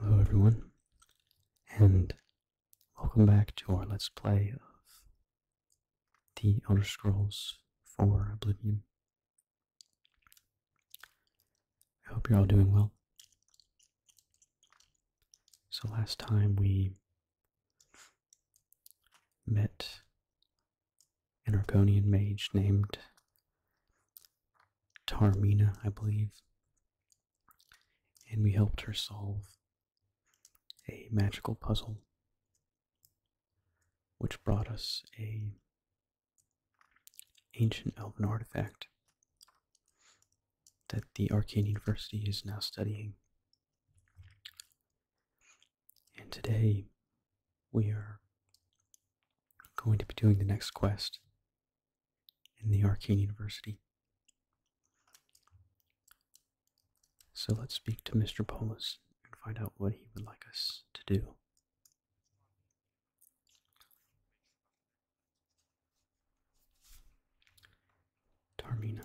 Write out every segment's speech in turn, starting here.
Hello everyone, and welcome back to our Let's Play of The Elder Scrolls 4 Oblivion. I hope you're all doing well. So last time we met an Argonian mage named Tarmina, I believe, and we helped her solve a magical puzzle which brought us a ancient elven artifact that the Arcane University is now studying. And today we are going to be doing the next quest in the Arcane University. So let's speak to Mr. Polis and find out what he would like us to do. Tarmina.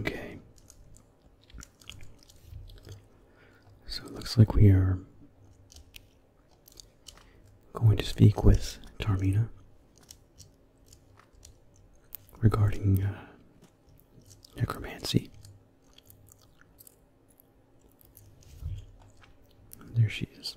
Okay, so it looks like we are going to speak with Tarmina regarding uh, necromancy. There she is.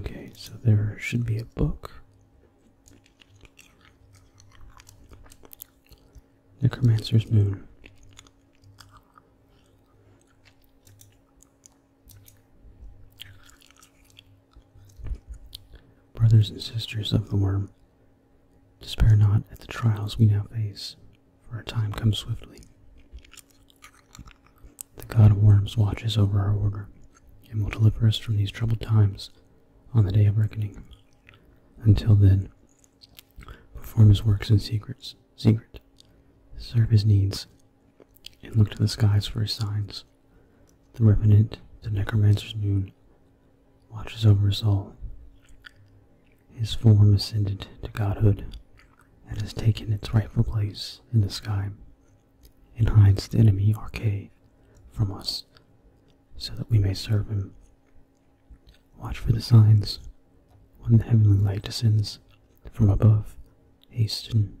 Okay, so there should be a book. Necromancer's Moon. Brothers and sisters of the worm, despair not at the trials we now face, for our time comes swiftly. The God of worms watches over our order, and will deliver us from these troubled times on the day of reckoning. Until then, perform his works in secrets, secret, serve his needs, and look to the skies for his signs. The Revenant, the Necromancer's moon, watches over us all. His form ascended to godhood and has taken its rightful place in the sky and hides the enemy Arcade from us so that we may serve him. Watch for the signs. When the heavenly light descends from above, hasten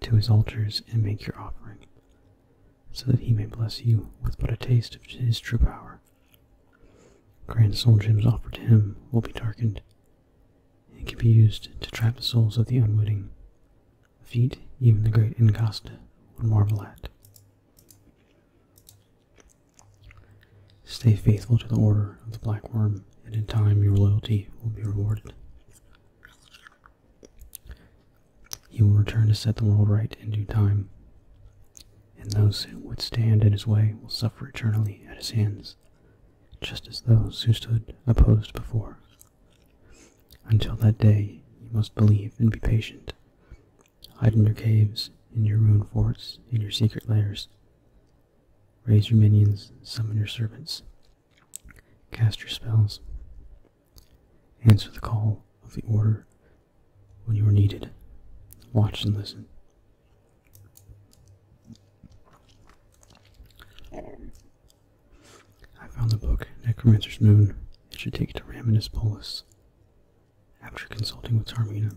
to his altars and make your offering, so that he may bless you with but a taste of his true power. Grand soul gems offered to him will be darkened, and can be used to trap the souls of the unwitting, a feat even the great Incasta would marvel at. Stay faithful to the order of the Black Worm, and in time your loyalty will be rewarded. He will return to set the world right in due time, and those who would stand in his way will suffer eternally at his hands, just as those who stood opposed before. Until that day, you must believe and be patient. Hide in your caves, in your ruined forts, in your secret lairs. Raise your minions, summon your servants, Cast your spells. Answer the call of the order when you are needed. Watch and listen. I found the book Necromancer's Moon. It should take it to Raminus Polis. After consulting with Tarmina.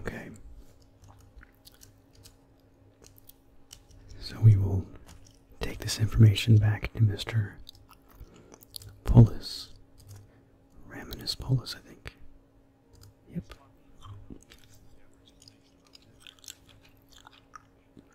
Okay. So we will take this information back to Mr. Polis. Raminus Polis, I think. Yep.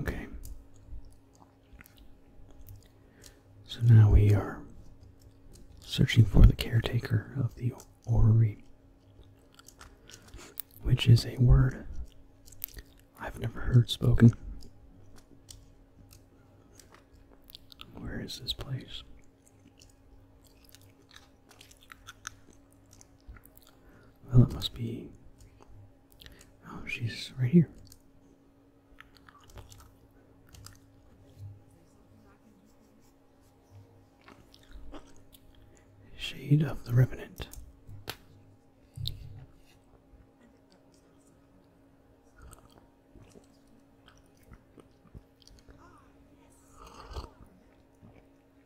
Okay. So now we are searching for the caretaker of the orrery, which is a word I've never heard spoken. Where is this place? Well, it must be. Oh, she's right here. Shade of the Revenant.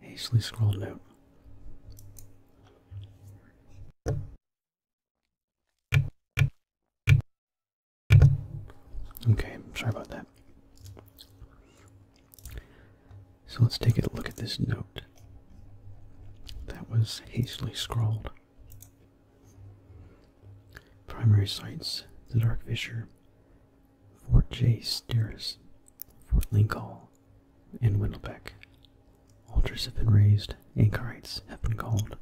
Hastily scrawled note. Okay, sorry about that. So let's take a look at this note that was hastily scrawled. Primary sites the Dark Fisher, Fort J. Steris, Fort Lincoln, and Wendelbeck. Altars have been raised, anchorites have been called.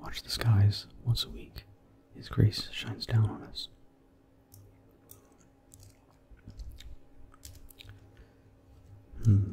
Watch the skies once a week. His grace shines down on us. Hmm.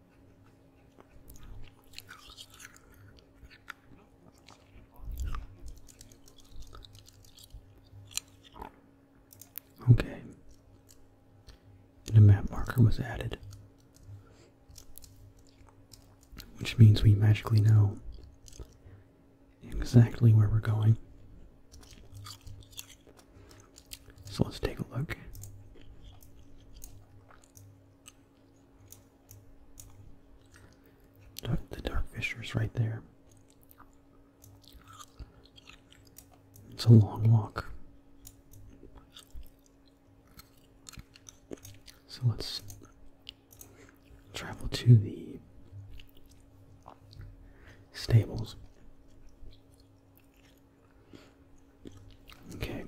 Okay. a map marker was added. Which means we magically know exactly where we're going. So let's take a look the dark fisher's right there. It's a long walk. So let's travel to the stables. Okay.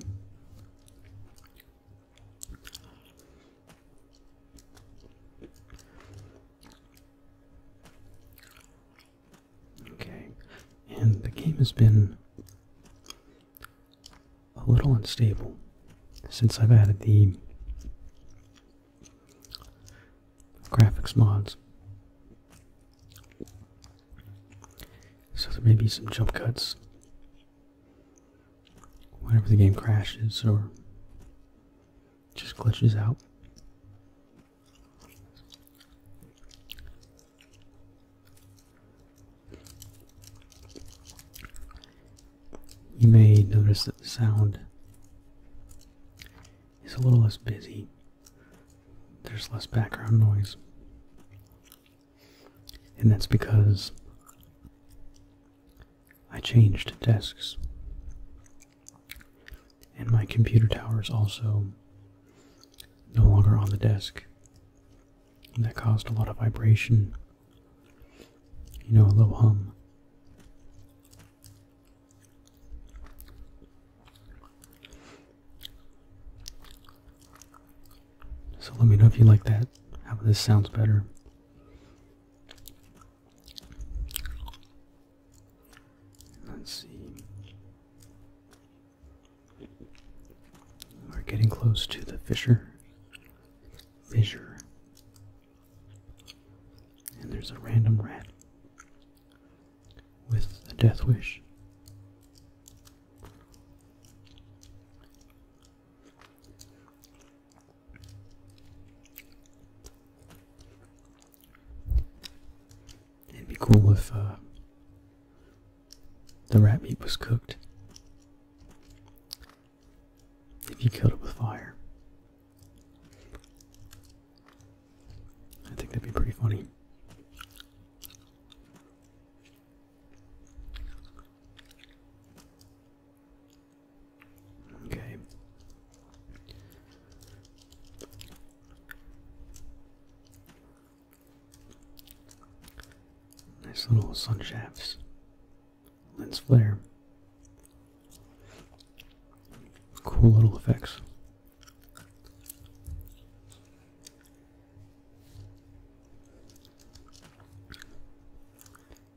Okay, and the game has been a little unstable since I've added the graphics mods. So there may be some jump cuts whenever the game crashes or just glitches out. You may notice that the sound is a little less busy. There's less background noise. And that's because I changed desks. And my computer tower is also no longer on the desk. that caused a lot of vibration. You know, a little hum. So let me know if you like that, how this sounds better. Let's see. We're getting close to the fissure. Fissure. And there's a random rat with a death wish. It'd be cool if uh, the rat meat was cooked. If you killed it with fire. I think that'd be pretty funny. Okay. Nice little sun shafts. Lens flare. Cool little effects.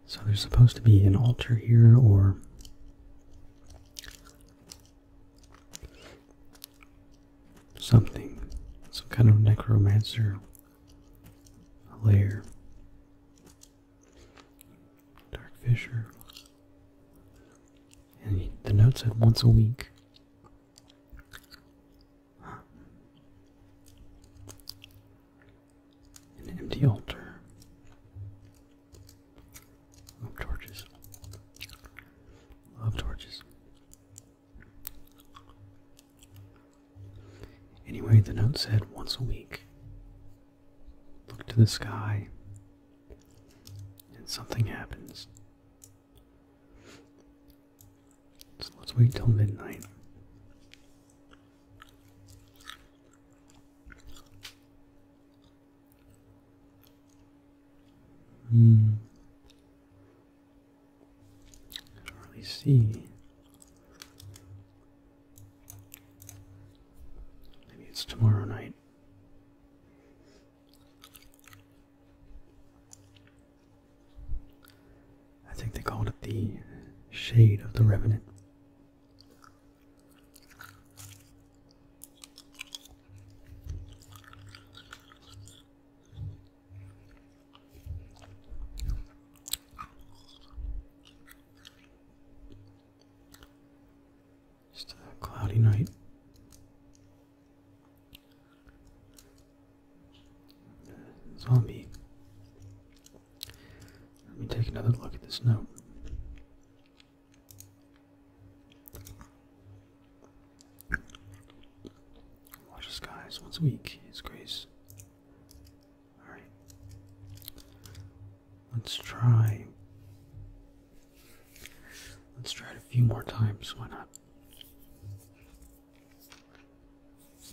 So there's supposed to be an altar here, or something, some kind of necromancer lair. Dark Fisher. And the note said once a week. An empty altar. Love torches. Love torches. Anyway, the note said once a week, look to the sky, and something happens let's wait till midnight. Hmm. I don't really see. Maybe it's tomorrow night. I think they called it the Shade of the Revenant. Just a cloudy night. Zombie. Let me take another look at this note. Watch the skies once a week, His grace. Alright. Let's try. Let's try it a few more times, why not?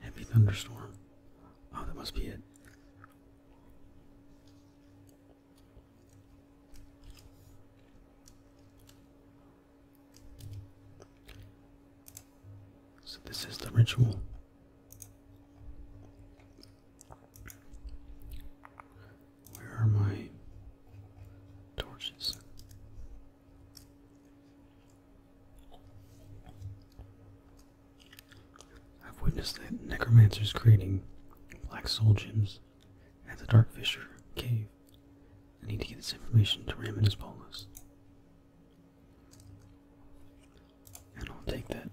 Heavy thunderstorm. Oh, that must be it. So, this is the ritual. Where are my torches? I've witnessed that necromancers creating black soul gems at the Dark Fisher cave. I need to get this information to Ram in his bolus. And I'll take that.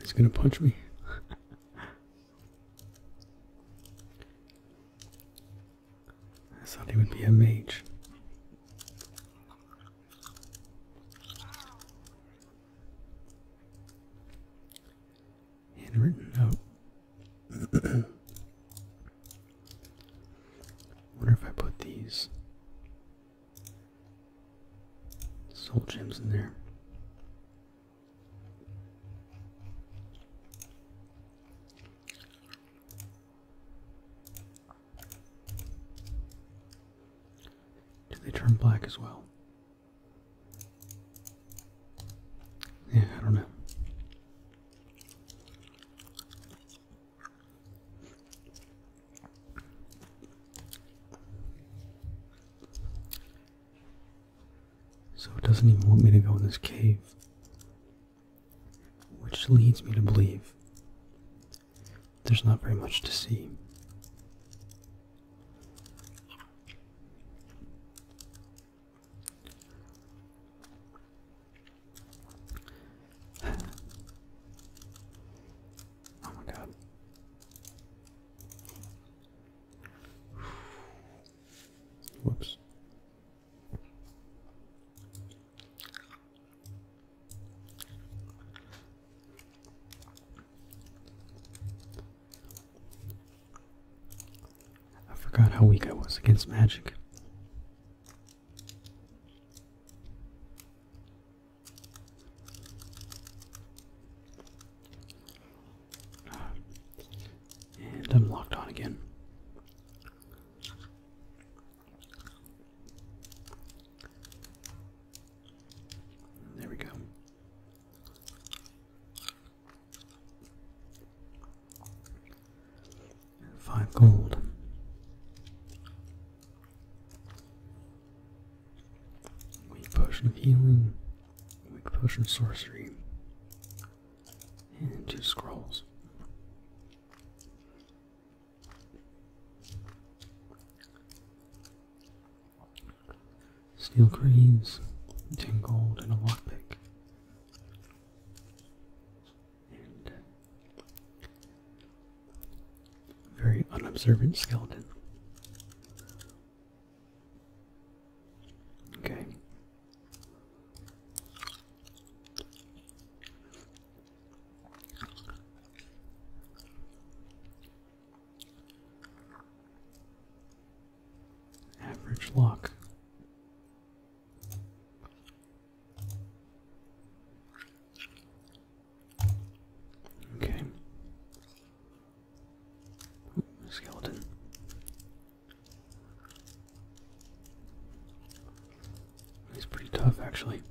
He's gonna punch me. I thought he would be a mage. Handwritten note. wonder if I put these Soul gems in there. Do they turn black as well? Yeah, I don't know. So it doesn't even want me to go in this cave, which leads me to believe there's not very much to see. Oh my god. Whoops. I forgot how weak I was against magic. And I'm locked on again. There we go. Five gold. Weak potion of healing, weak potion of sorcery, and two scrolls. Steel greaves, ten gold, and a lockpick. Very unobservant skeleton. Okay. Average luck. Okay. skeleton. He's pretty tough, actually.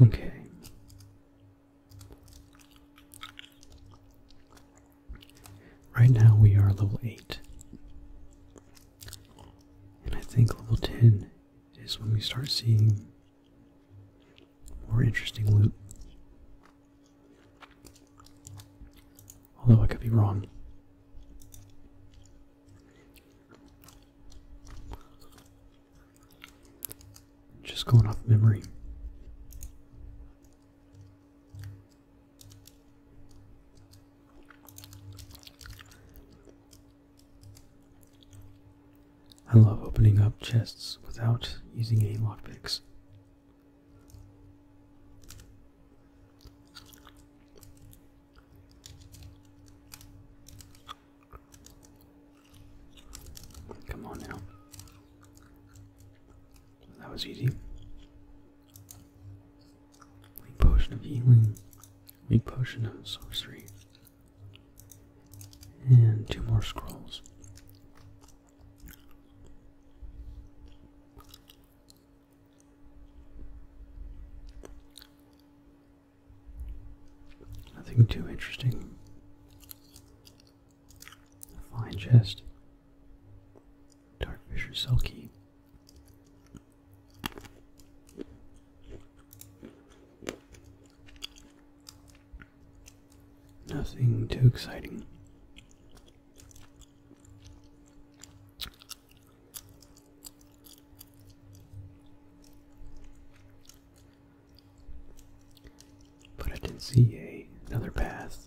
Okay. Right now we are level 8. And I think level 10 is when we start seeing more interesting loot. Although I could be wrong. Just going off memory. I love opening up chests without using any lockpicks. Come on now. That was easy. Weak potion of healing. Weak potion of sorcery. And two more scrolls. Nothing too interesting. Fine chest. Dark Fisher Selkie. Nothing too exciting. But I did see a, another path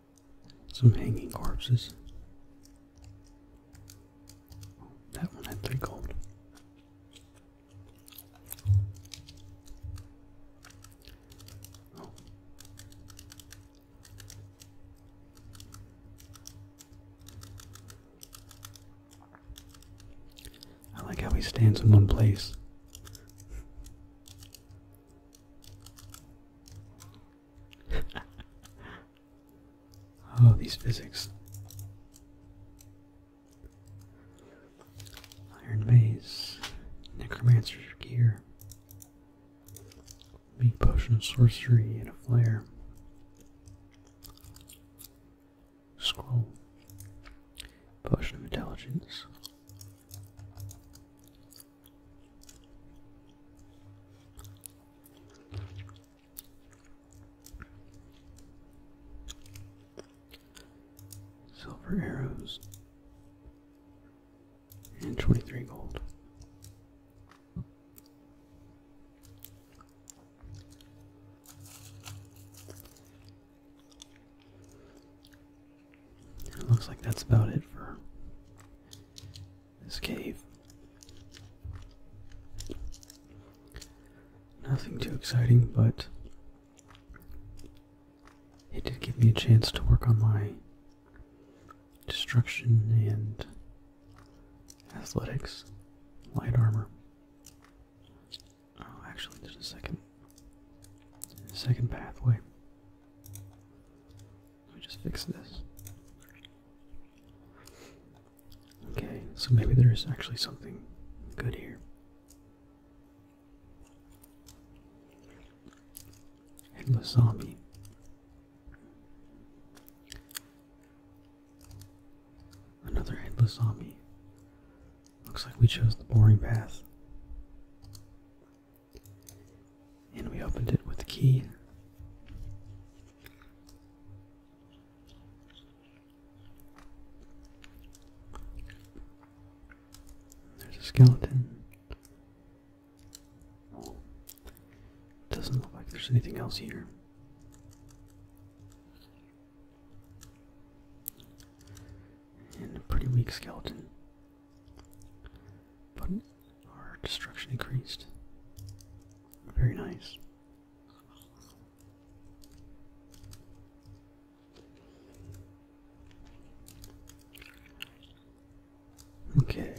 Some hanging corpses. that one had three gold. I like how he stands in one place oh, these physics. Iron Maze, Necromancer's Gear, Meat Potion of Sorcery, and a Flare. Scroll, Potion of Intelligence, Silver arrows and 23 gold. It looks like that's about it for this cave. Nothing too exciting, but it did give me a chance to work on my destruction and athletics, light armor. Oh, actually, there's a second, second pathway. Let me just fix this. Okay, so maybe there's actually something good here. Headless zombie. Another headless zombie. Looks like we chose the boring path. And we opened it with a key. There's a skeleton. Doesn't look like there's anything else here. And a pretty weak skeleton. But our destruction increased. Very nice. Okay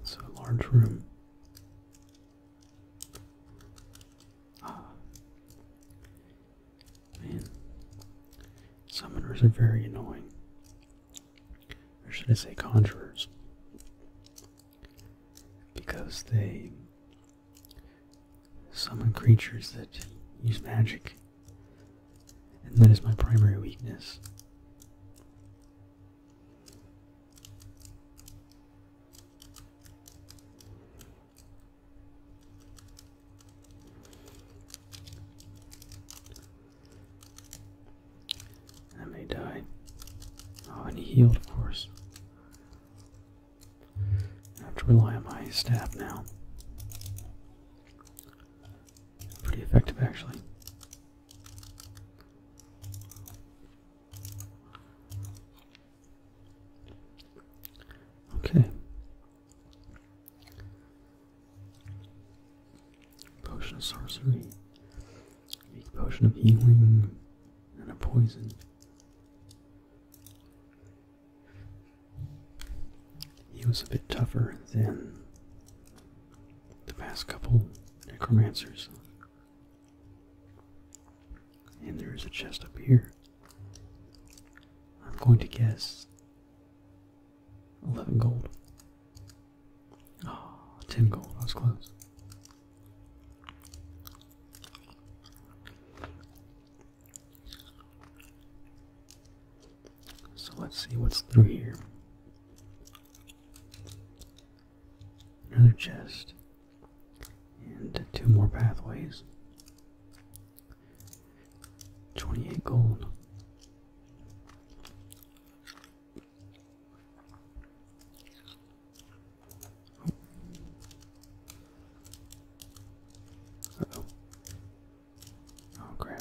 it's a large room. Ah. Man. Summoners are very annoying. Or should I say conjurers? Because they summon creatures that use magic and that is my primary weakness. I may die. Oh, and he healed, of course. I have to rely on my staff now pretty effective actually. Okay. Potion of sorcery. Make potion of healing and a poison. He was a bit tougher then the past couple necromancers. And there is a chest up here. I'm going to guess 11 gold. Oh, 10 gold. I was close. So let's see what's through here. Another chest. And two more pathways. 28 gold. Oh, crap.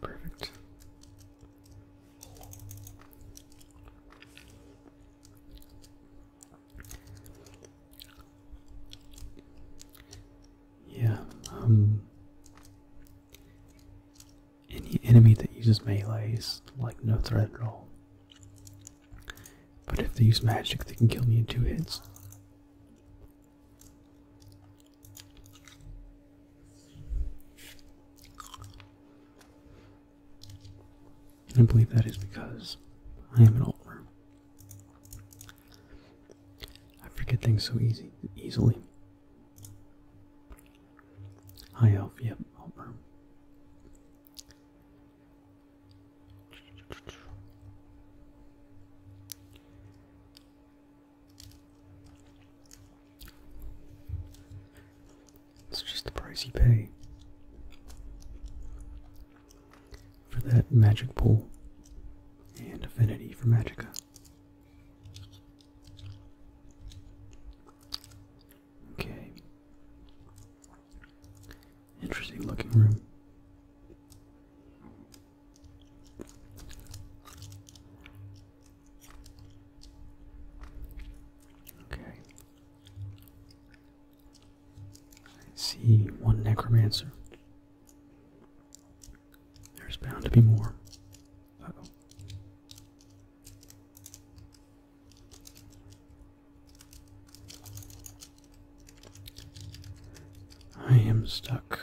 perfect. Yeah, um, any enemy that uses melee is like no threat at all. But if they use magic, they can kill me in two hits. I believe that is because I am an old older. I forget things so easy, easily. High elf, yep, Ulmer. It's just the price you pay for that magic pool and affinity for magica. Okay. Interesting looking room. Okay. I see one necromancer. There's bound to be more. I am stuck.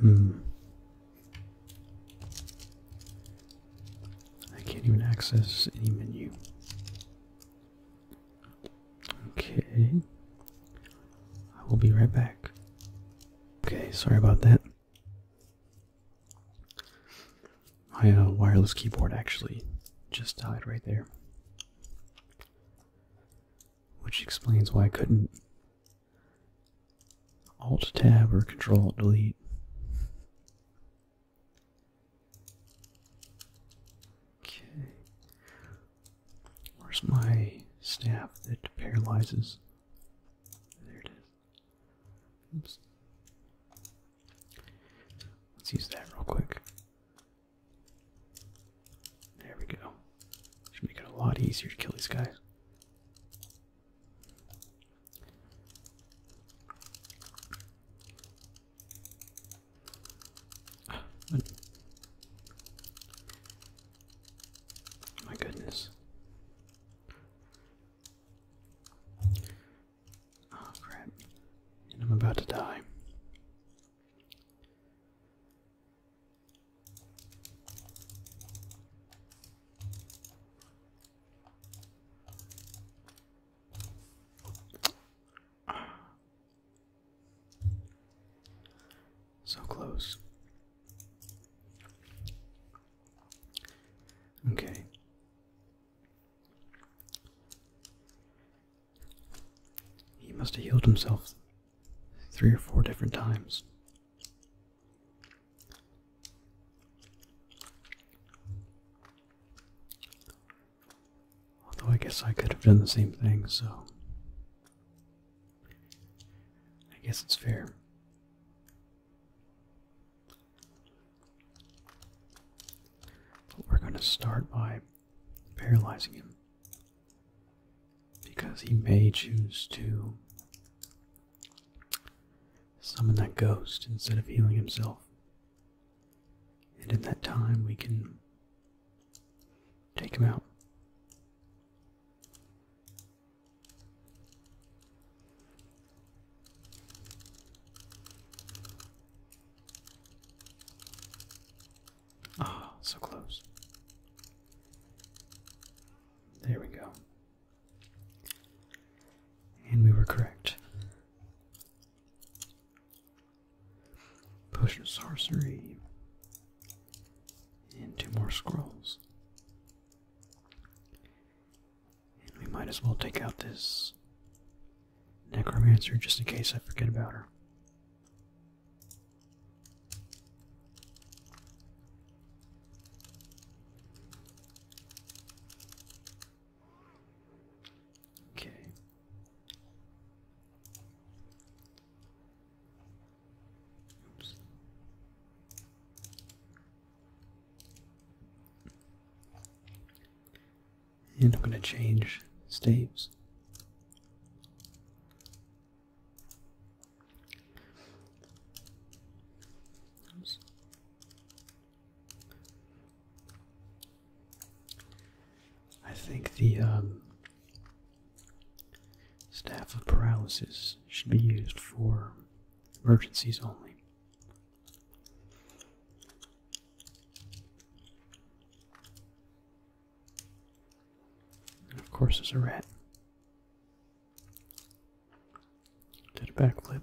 Hmm. I can't even access any menu. Okay. I will be right back. Okay, sorry about that. My wireless keyboard actually just died right there. Which explains why I couldn't Alt Tab or Control Delete. Okay. Where's my staff that paralyzes? There it is. Oops. Let's use that real quick. There we go. Should make it a lot easier to kill these guys. My goodness. Oh crap. I'm about to die. So close. Okay. He must have healed himself three or four different times. Although I guess I could have done the same thing, so I guess it's fair we're going to start by paralyzing him because he may choose to summon that ghost instead of healing himself. And in that time, we can take him out. Ah, so close. There we go. And we were correct. Potion of sorcery. And two more scrolls we might as well take out this necromancer just in case I forget about her. Okay. Oops. And I'm going to change states. I think the um, staff of paralysis should be used for emergencies only. And of course, there's a rat. Did a backflip.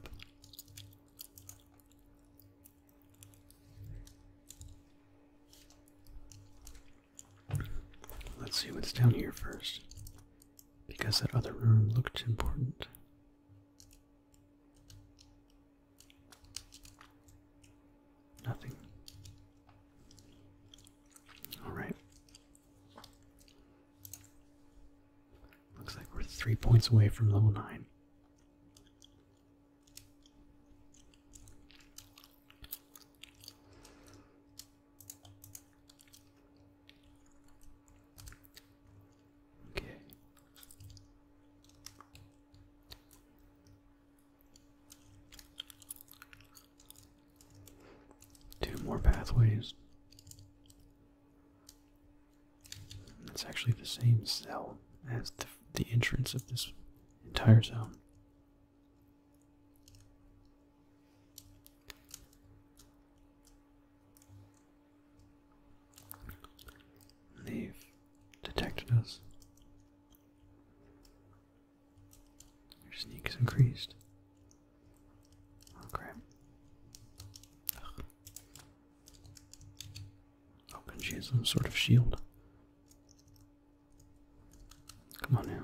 Let's see what's down here first, because that other room looked important. Nothing. All right. Looks like we're three points away from level nine. Okay, Two more pathways. It's actually the same cell as the, the entrance of this entire zone. They've detected us. Your sneak is increased. Oh crap. Oh, can she has some sort of shield? Come on now.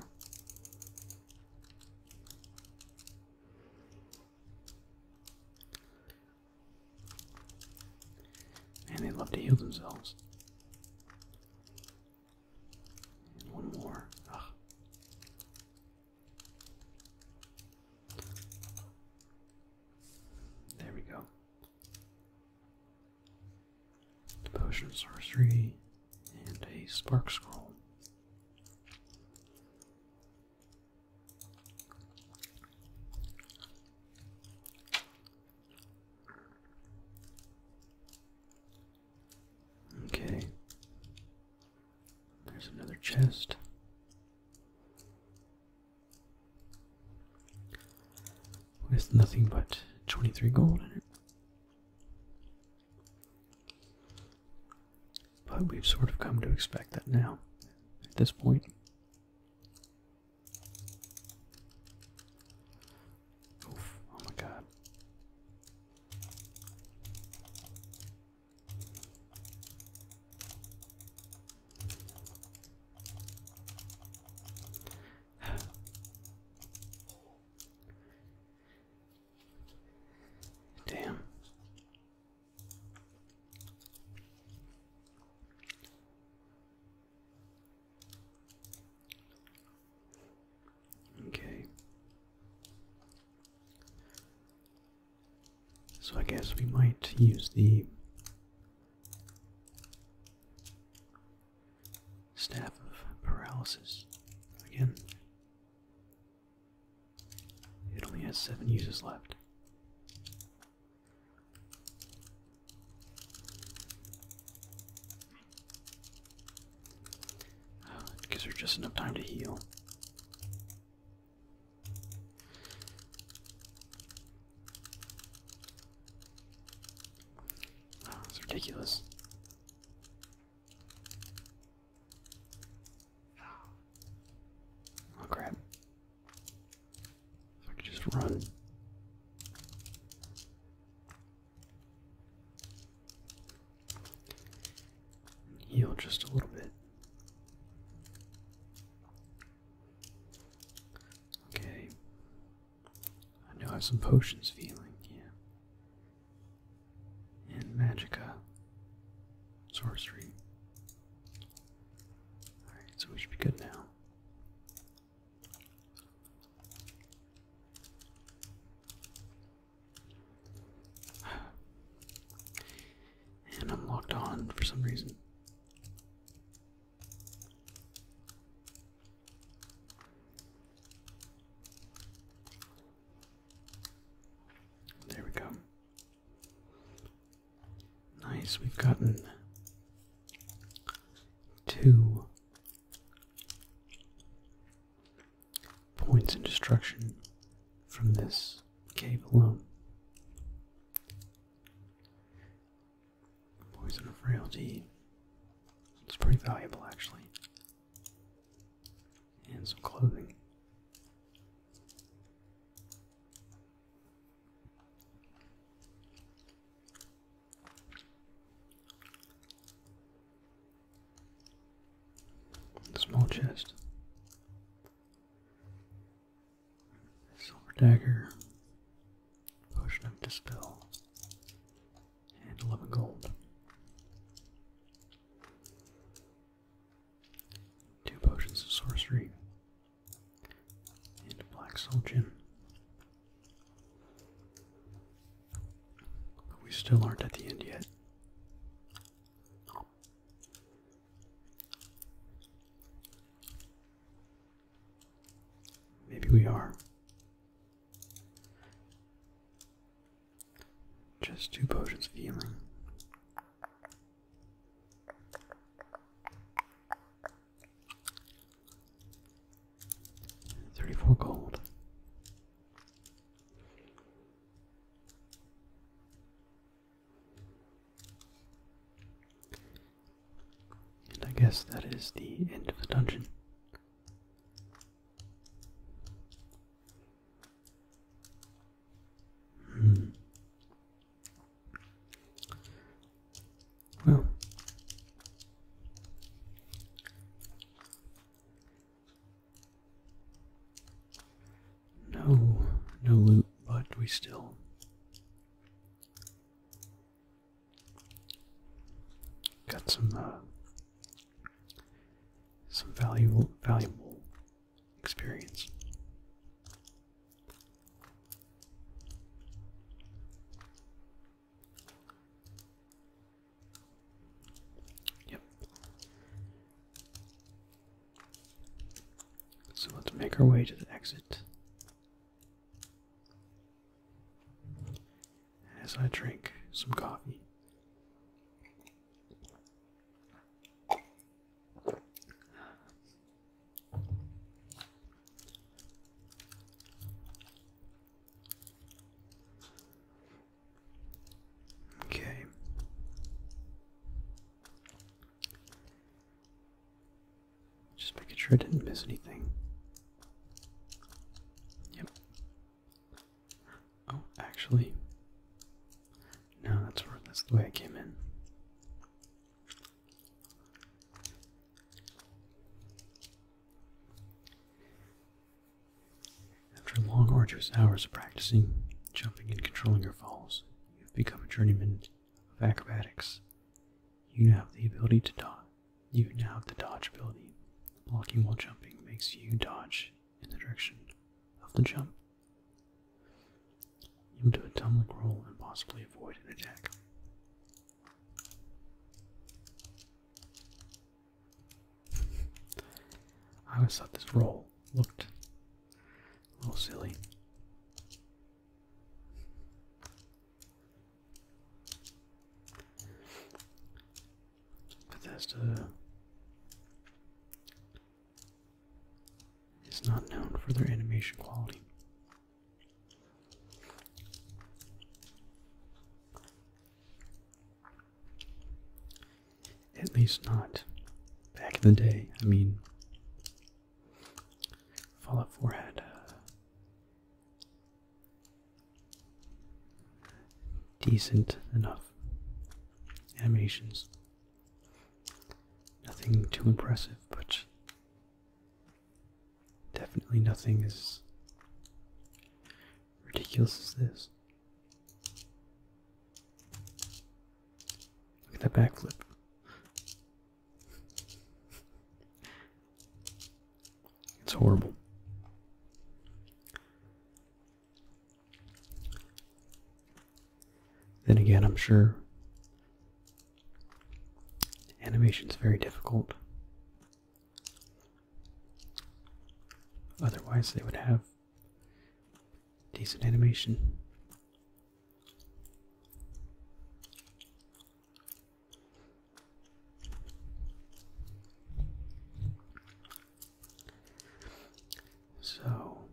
And they love to heal themselves. one more. There we go. The potion of sorcery and a spark scroll. Okay. There's another chest. With nothing but 23 gold in it. But we've sort of come to expect that now, at this point oh my god. Damn. Okay. So I guess we might use the staff of paralysis again. It only has seven uses left. Because there's just enough time to heal. Oh, it's ridiculous. Oh crap. I could just run. Heal just a little bit. Okay. I know I have some potions feeling, yeah. And magica. Sorcery. Alright, so we should be good now. And I'm locked on for some reason. There we go. Nice, we've gotten two points in destruction from this cave alone. Poison of frailty. It's pretty valuable actually. And some clothing. Small chest. Silver dagger. Potion of dispel. And 11 gold. Two potions of sorcery and Black Soldier. But we still aren't at the end yet. Maybe we are. Just two potions of healing. Thirty-four gold. And I guess that is the end of the dungeon. Hmm. Well, no, no loot, but we still. Got some uh, some valuable valuable experience. Yep. So let's make our way to the exit. As I drink some coffee. Okay. Just making sure I didn't miss anything. Yep. Oh, actually. No, that's where that's the way I came in. After long, arduous hours of practicing, jumping, and controlling your falls, you have become a journeyman of acrobatics. You now have the ability to dodge. You now have the dodge ability. Blocking while jumping makes you dodge in the direction of the jump. You can do a tumbling roll and possibly avoid an attack. I always thought this roll looked a little silly. Bethesda is not known for their animation quality. At least not back in the day. I mean, Fallout 4 had uh, decent enough animations. Nothing too impressive, but Definitely nothing as ridiculous as this. Look at that backflip. It's horrible. Then again, I'm sure animation is very difficult. Otherwise, they would have decent animation. So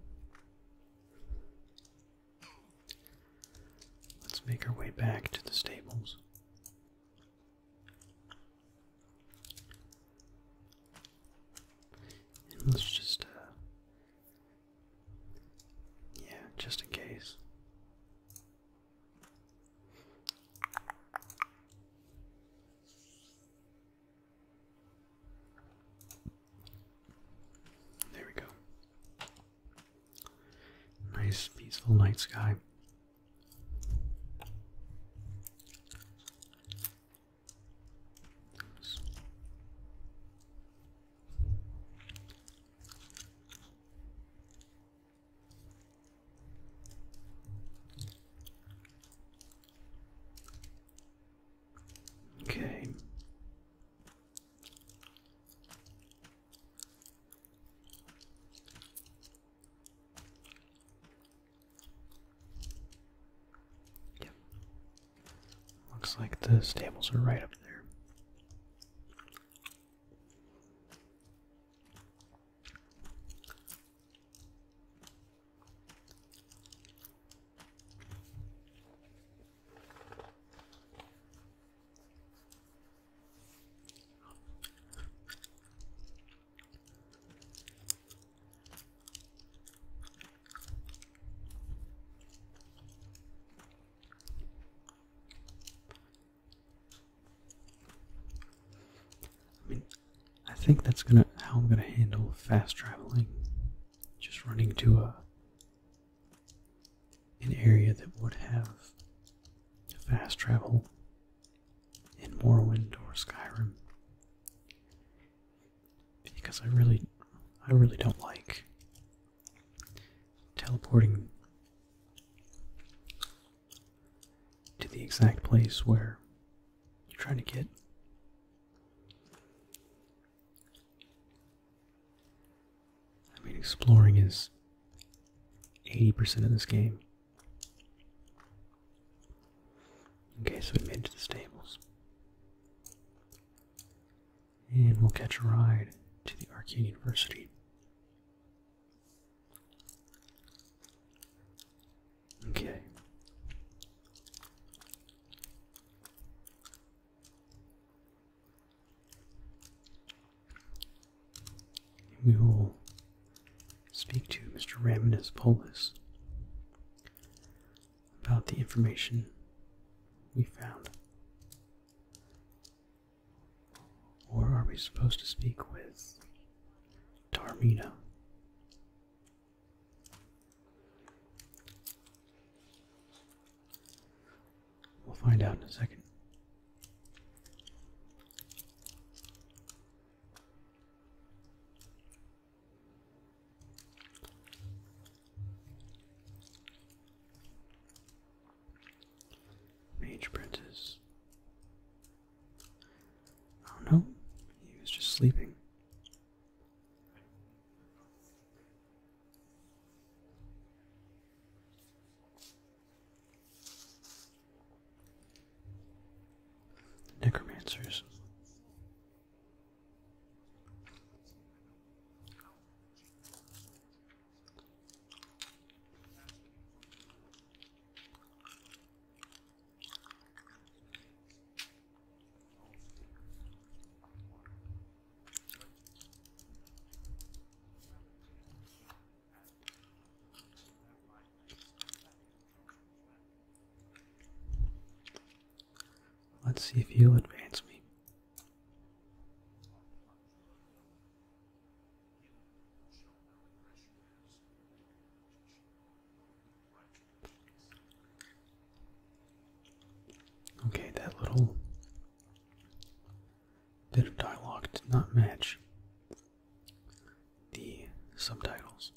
Let's make our way back to the stables. let's just, uh, yeah, just in case. There we go. Nice, peaceful night sky. Okay. Yep. Looks like the stables are right up there. I mean, I think that's gonna how I'm gonna handle fast traveling. Just running to a an area that would have fast travel in Morrowind or Skyrim. Because I really I really don't like teleporting to the exact place where you're trying to get. I mean, exploring is 80% of this game. Okay, so we made it to the stables. And we'll catch a ride to the Arcane University. Okay. We will speak to Mr. Raminus Polis about the information we found. Or are we supposed to speak with Tarmina? We'll find out in a second. Mage Princess. Oh no, he was just sleeping. Necromancers. Let's see if you advance me. Okay, that little Bit of dialogue did not match the subtitles.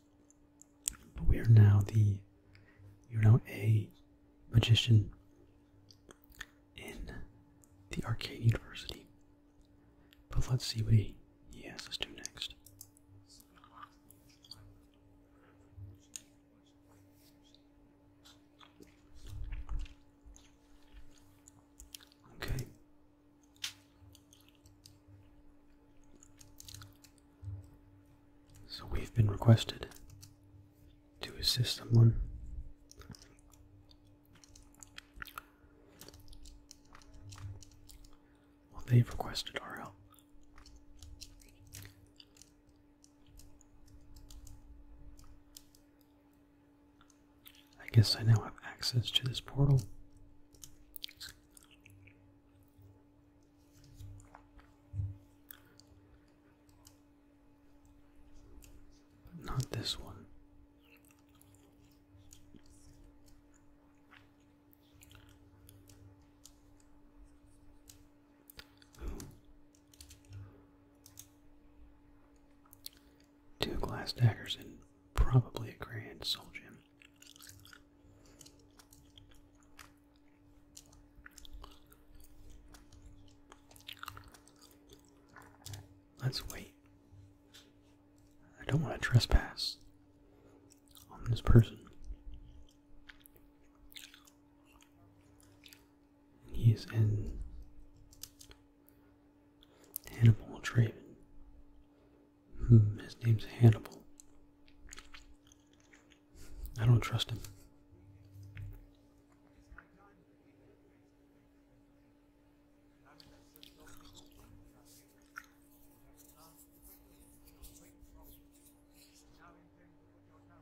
But we are now the you're now a magician in the Arcane University. But let's see what he, he has us do next. Okay. So we've been requested to assist someone. they've requested our help. I guess I now have access to this portal. But not this one. Two glass daggers and probably a grand soul gem. Let's wait. I don't want to trespass on this person. He's in Hannibal Draven. Hmm, his name's Hannibal. I don't trust him.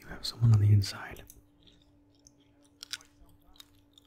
You have someone on the inside.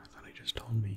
I thought he just told me.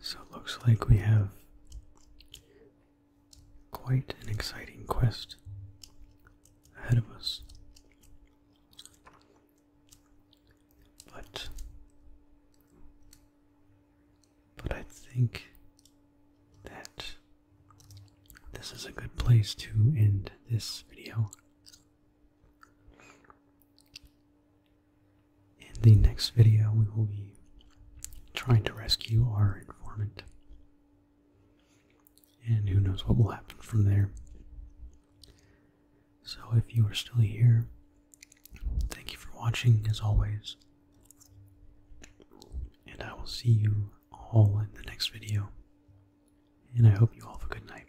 So it looks like we have quite an exciting quest ahead of us. But but I think that this is a good place to end this video. In the next video, we will be trying to rescue our informant. And who knows what will happen from there. So, if you are still here, thank you for watching as always. And I will see you all in the next video. And I hope you all have a good night.